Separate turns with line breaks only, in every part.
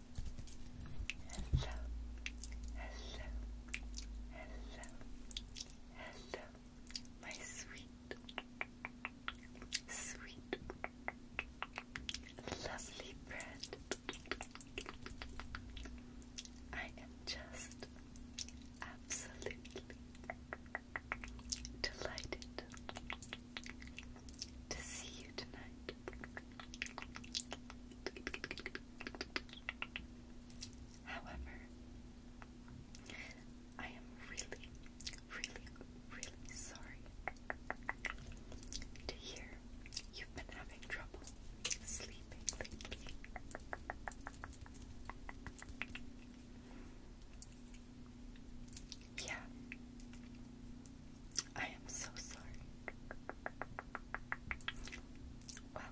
hello, hello, hello, hello, my sweet, sweet, lovely friend. I am just absolutely delighted to see you tonight. However, I am really, really, really sorry to hear you've been having trouble sleeping lately. Yeah, I am so sorry. Well,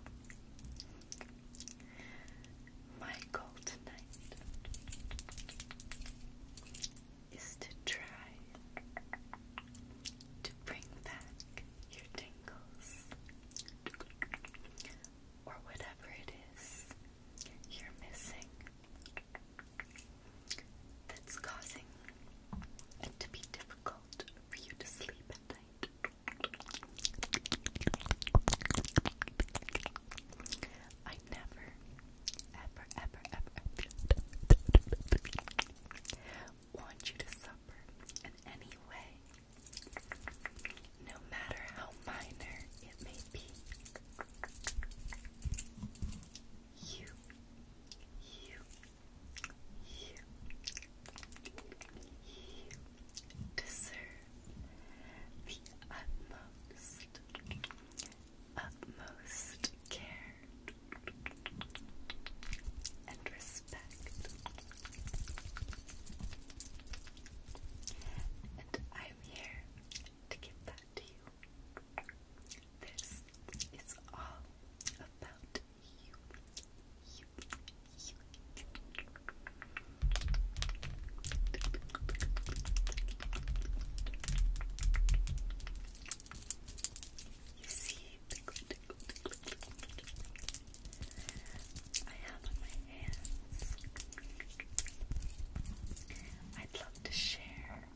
my goal tonight is to try to bring back your tingles or whatever it is you're missing that's causing it to be different difficult for you to sleep at night. I never, ever, ever, ever want you to suffer in any way, no matter how minor it may be. You, you, you, you deserve the utmost, utmost care and respect. And I'm here to give that to you. This is all about you see, I have my hands. I'd love to share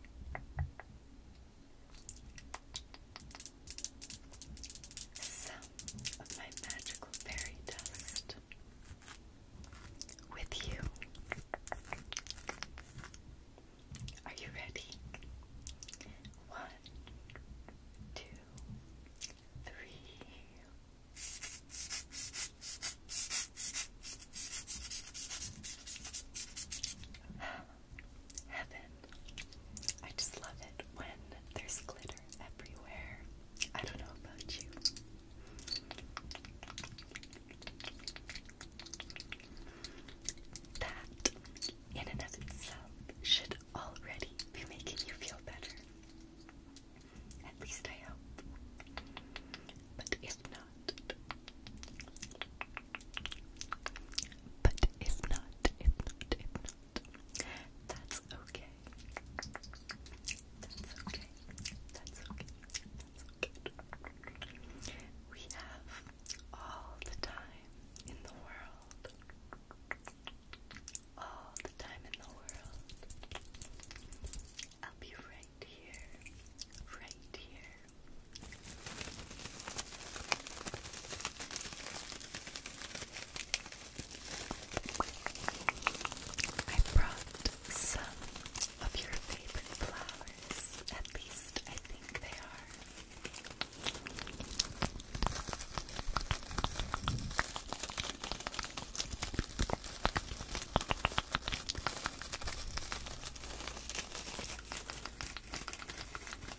some of my magical fairy dust with you. Are you ready? One, two, three heaven. I just love it when there's glitter everywhere. I don't know about you. That, in and of itself, should already be making you feel better. At least I hope. But if not, but if not, if not, if not, that's okay. That's okay. That's okay. That's okay. We have all the time in the world. All the time in the world. I'll be right here. Right here. I brought some of your favorite flowers. At least I think they are.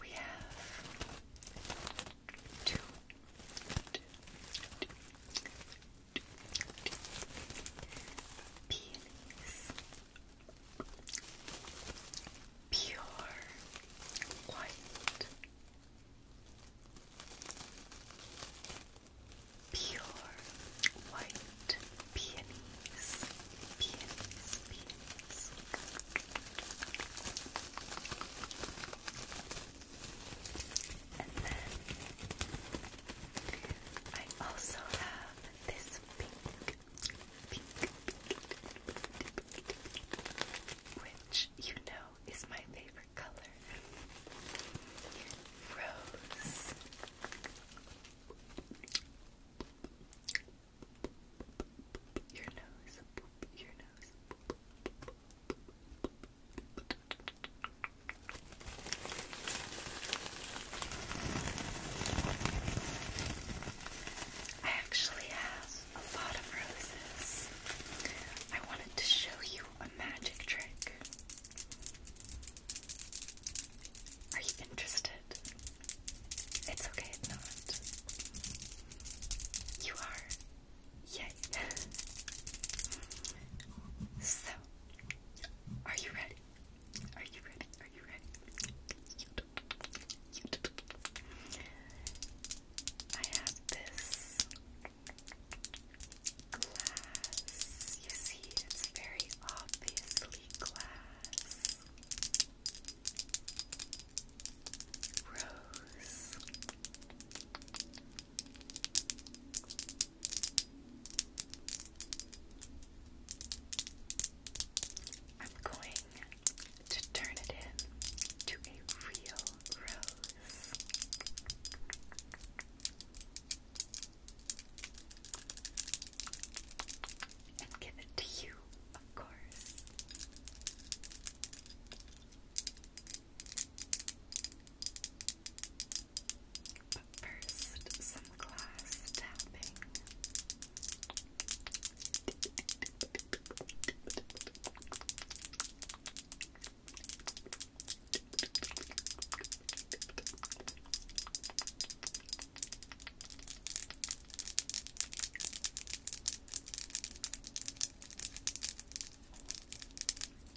We have two, two, two, two, two peonies. Pure white, pure white, peonies, peonies, peonies. And then I also have this pink, pink, pink, which you know is my favorite color. Rose. Your nose. Your nose. I actually have a lot of roses. I wanted to show you a magic trick. Are you interested? It's okay if not. You are. Yay. so, are you ready? Are you ready? Are you ready? I have this glass. You see, it's very obviously glass. Rose. I'm going to turn it in a real rose and give it to you, of course. But first, some glass tapping.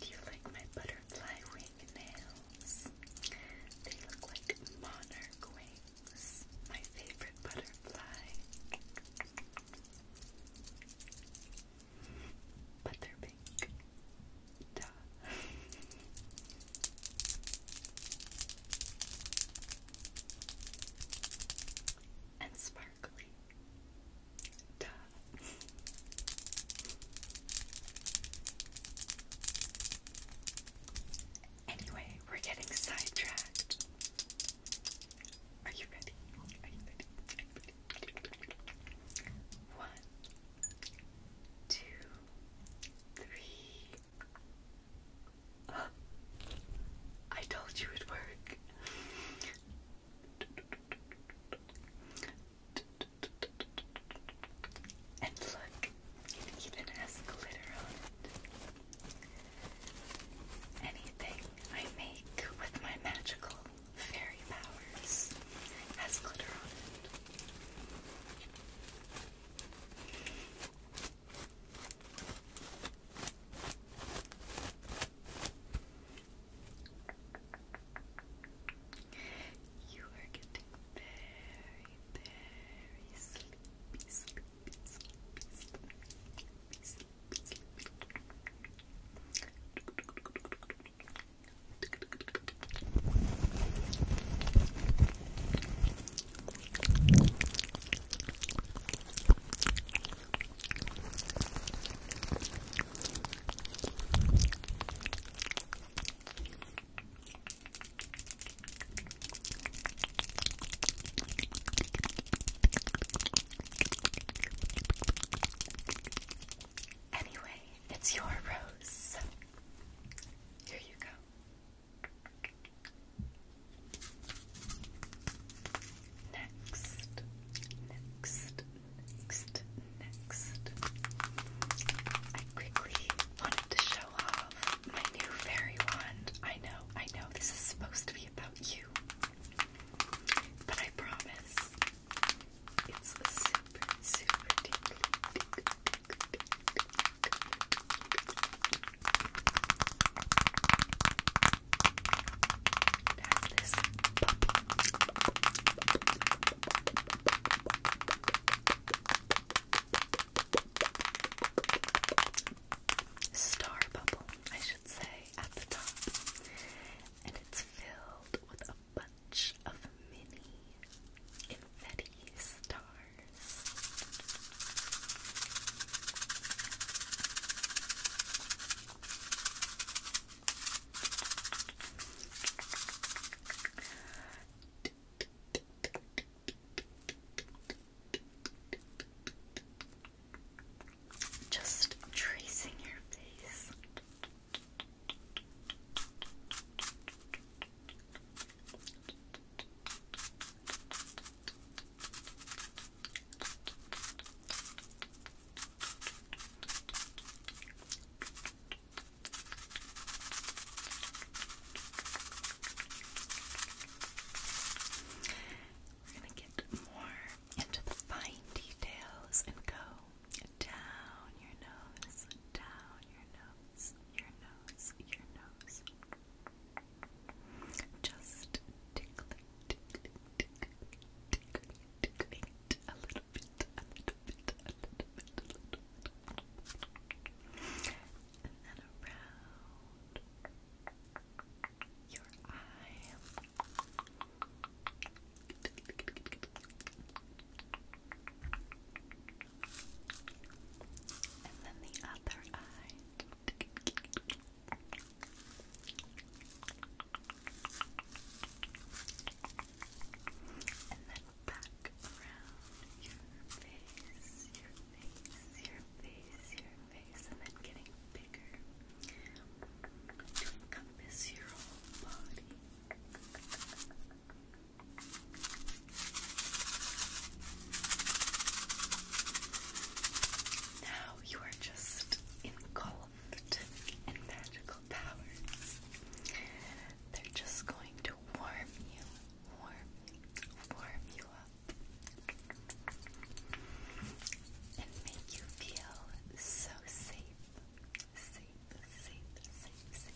Do you like my butterfly wing nails? They look like monarch wings. My favorite butterfly. But they're pink. Duh. and sparkly. Duh. Anyway, we're getting sidetracked. Are you ready? One, two, three, I told you it'd work. And look, it even has glitter on it. Anything I make with my magical fairy powers has glitter on it. You are getting very, very sleepy, Anyway, it's your rose. Here you go. Next, next, next, next. I quickly wanted to show off my new fairy wand. I know, I know, this is supposed to be about you. But I promise, it's super, super deeply, Star bubble, I should say, at the top, and it's filled with a bunch of mini confetti stars. Just tracing your face. We're going to get more into the fine details and go down your nose, down your nose, your nose, your nose. Just tickling, tickling, tickling, tickling, tickling a little bit, a little bit, a little bit, a little bit. And then around your eye. And then the other eye. And then back around your face, your face, your face, your face, and then getting bigger encompass your whole body. Now you are just engulfed in magical powers. They're just going to warm you, warm warm you up, and make you feel so safe, safe, safe, safe, safe.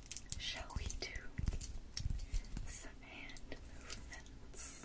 Shall we do some hand movements?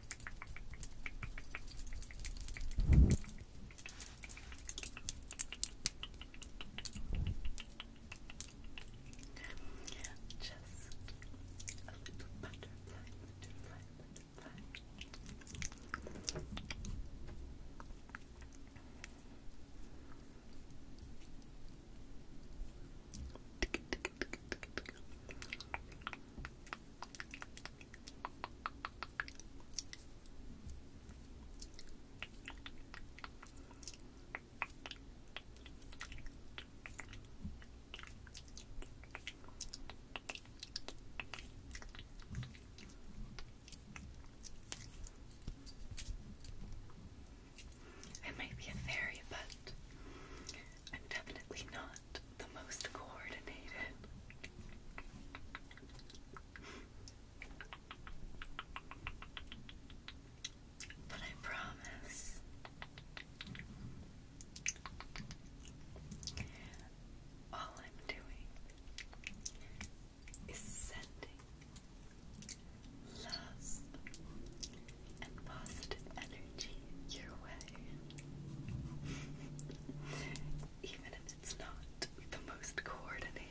Just a little butterfly, butterfly, butterfly. Tick, tick, tick, tick, tick. I might be a fairy, but I'm definitely not the most coordinated. But I promise all I'm doing is sending love and positive energy your way. even if it's not the most coordinated.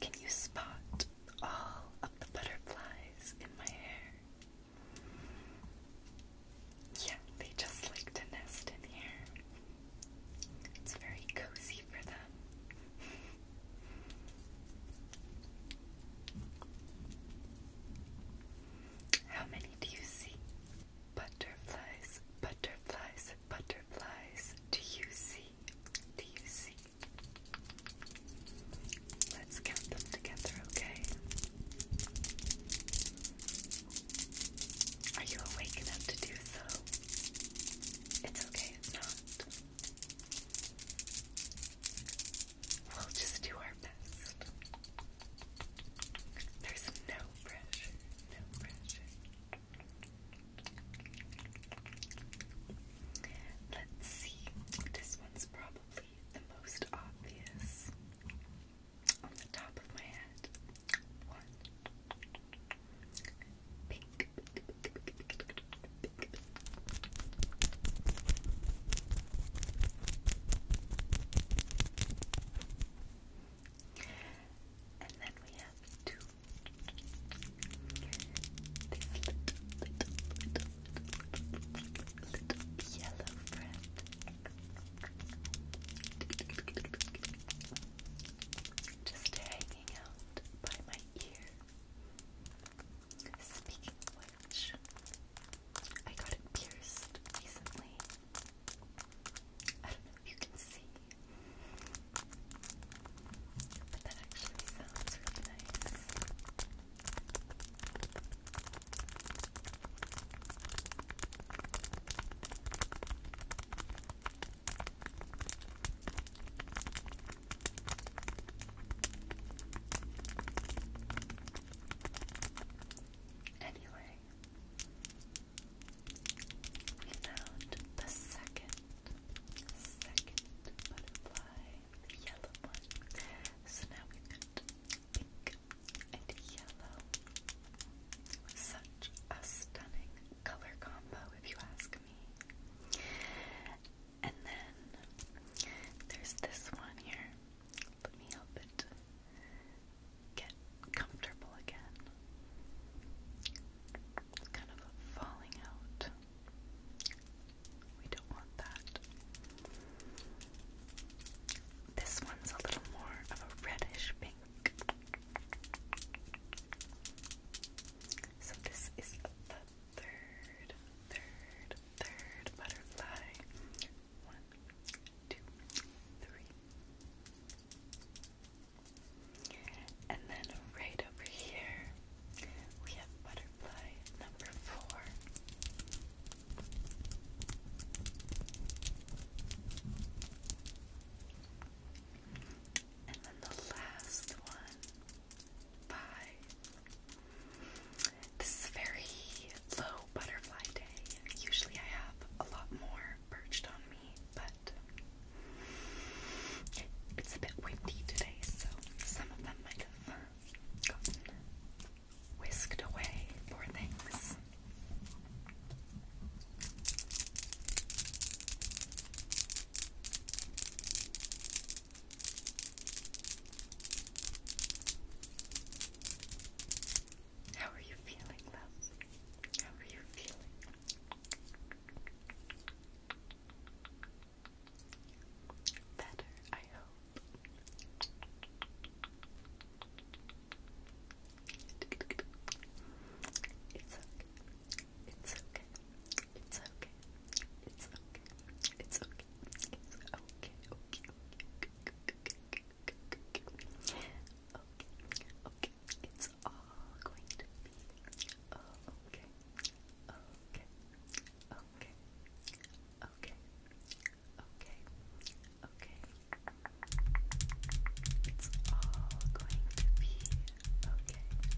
Can you spot all of the butterflies in my hair? Yeah, they just like to nest in here. It's very cozy for them. How many do you see? Butterflies, butterflies butterflies do you see? Do you see? Let's count them together, okay? Are you awake enough to do so? It's okay if not. We'll just do our best. There's no pressure, no pressure. Let's see. This one's probably the most obvious on the top of my head. One pink. And then we have two. little, yellow friend. Just hanging out by my ear. Speaking of I got it pierced recently you can see. But that actually sounds really nice. Anyway, we found the second, second butterfly, yellow one. So now we've pink and yellow. Such a stunning color combo, if you ask me. And then there's this one here. Let me help it get comfortable again. It's kind of falling out. We don't want that. This one's a little more of a reddish pink. So this is the third, third, third butterfly. One, two, three. And then right over here, we have butterfly number four. And then the last one, five. This is a very low butterfly day. Usually I have a lot more perched on me, but it's a bit windy today, so some of them might have gotten whisked away, poor things. How are you feeling, love? How are you feeling? Better, I hope. It's okay. It's okay. It's okay. It's okay. It's okay. It's okay. okay. Okay. Okay. Okay. Okay okay, okay, it's all going to be okay, okay, okay, okay, okay, okay, it's all going to be Okay.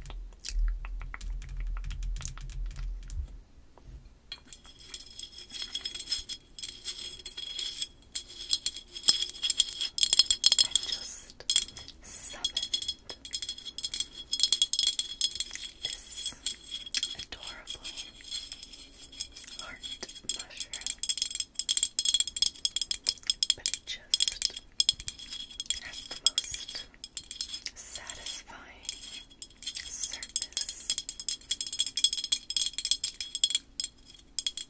I just summoned this adorable heart mushroom, but it just has the most satisfying surface.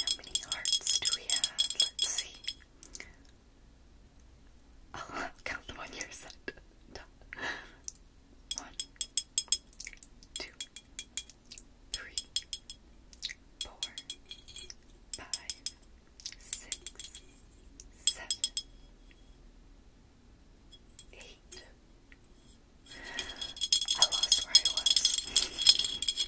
How many hearts do we have? Let's see. I'll count the one you're One, two, three, four, five, six, seven, eight. I lost where I was.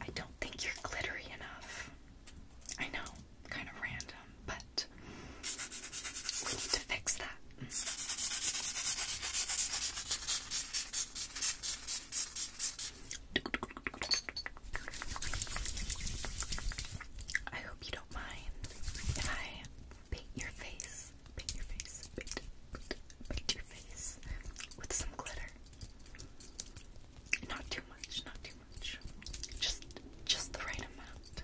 I don't think you're glittery enough. I know, kind of random, but to fix that. I hope you don't mind if I paint your face, paint your face, paint your face with some glitter. Not too much, not too much. Just just the right amount.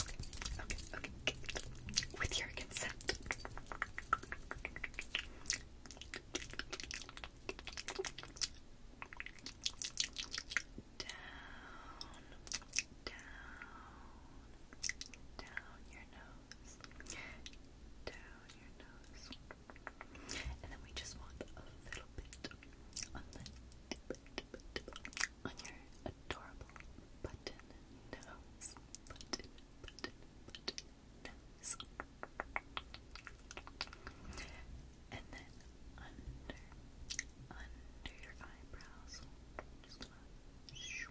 Okay, okay, okay. With your consent. Down down, down your nose, down your nose, and then we just want a little bit on the tip, on your adorable button nose, button, button, button nose, and then under, under your eyebrows, just gonna.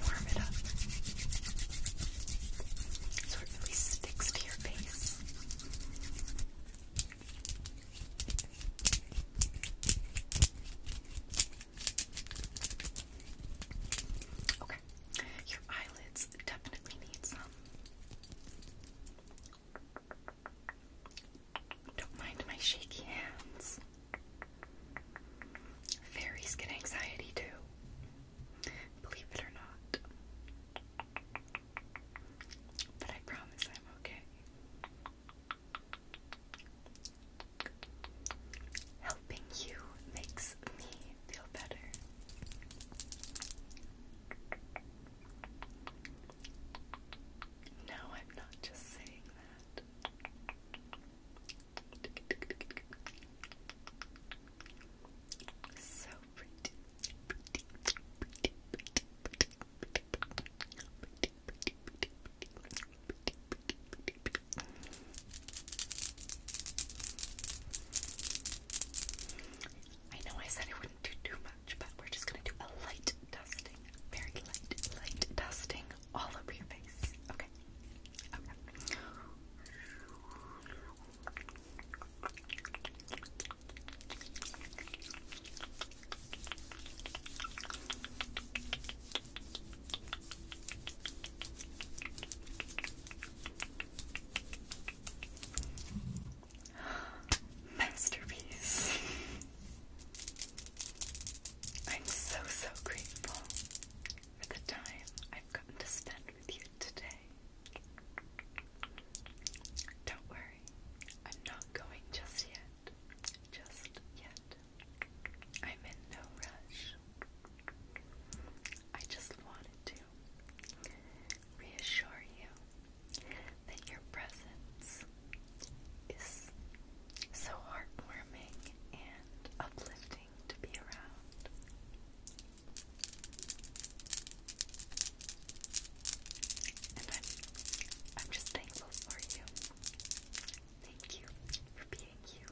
warm it up so it really sticks to your face. Okay, your eyelids definitely need some. Don't mind my shaky hands. Fairies get anxiety too, believe it or not. But I promise I'm okay. Helping you makes me feel better. No, I'm not just saying that. So pretty, I know I said I wouldn't do too but we're just gonna do a light dusting, very light, light dusting all over your face. Okay. Masterpiece. I'm so, so grateful for the time I've gotten to spend with you today. Don't worry, I'm not going just yet. Just yet. I'm in no rush. I just wanted to reassure you that your presence is so heartwarming and uplifting to be around. And I'm, I'm just thankful for you. Thank you for being you.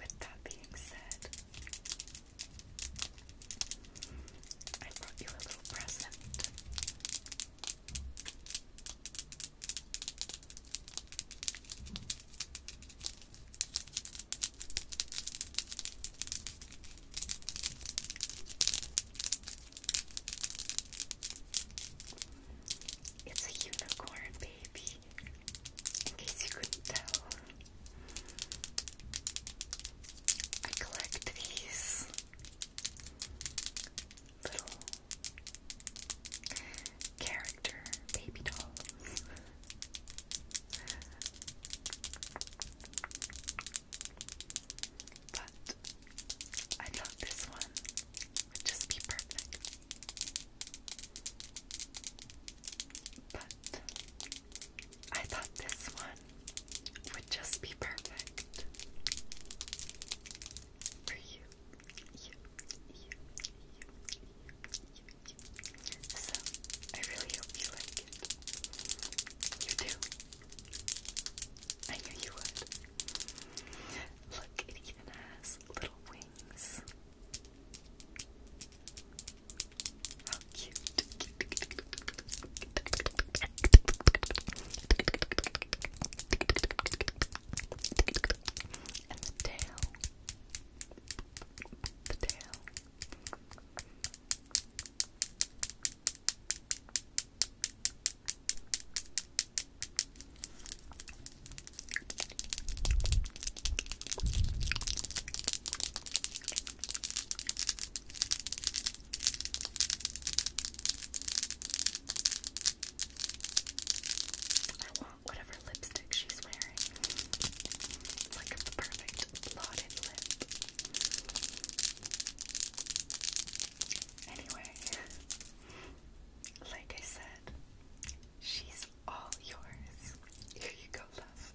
With that being said, I brought you a little present. It's a unicorn baby, in case you I collect these little character baby dolls. but I thought this one would just be perfect. But I thought this one would just be perfect for you. So, I really hope you like it. You do. I knew you would. Look, it even has little wings. How cute. And the tail. The tail. I want whatever lipstick she's wearing. It's like a perfect blotted lip. Anyway, like I said, she's all yours. Here you go, love.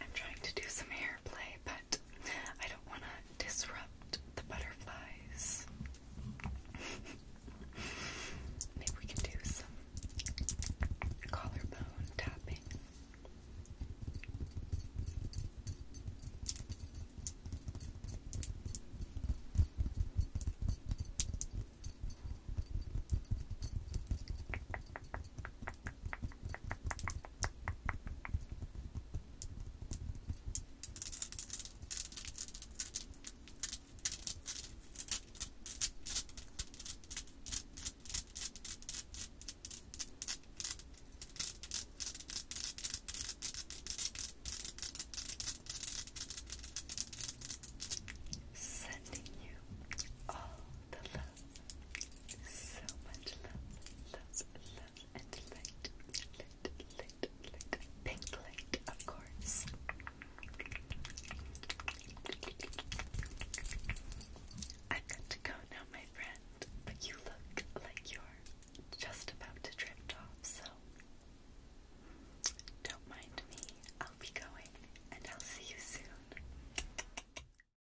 I'm trying to do some hair play, but I don't want to disrupt the butterflies. Maybe we can do some collarbone tapping. Sending you all the love so much love, love, love, and light, light, light, light, pink light, of course. I've got to go now, my friend, but you look like you're just about to drift off, so don't mind me. I'll be going, and I'll see you soon.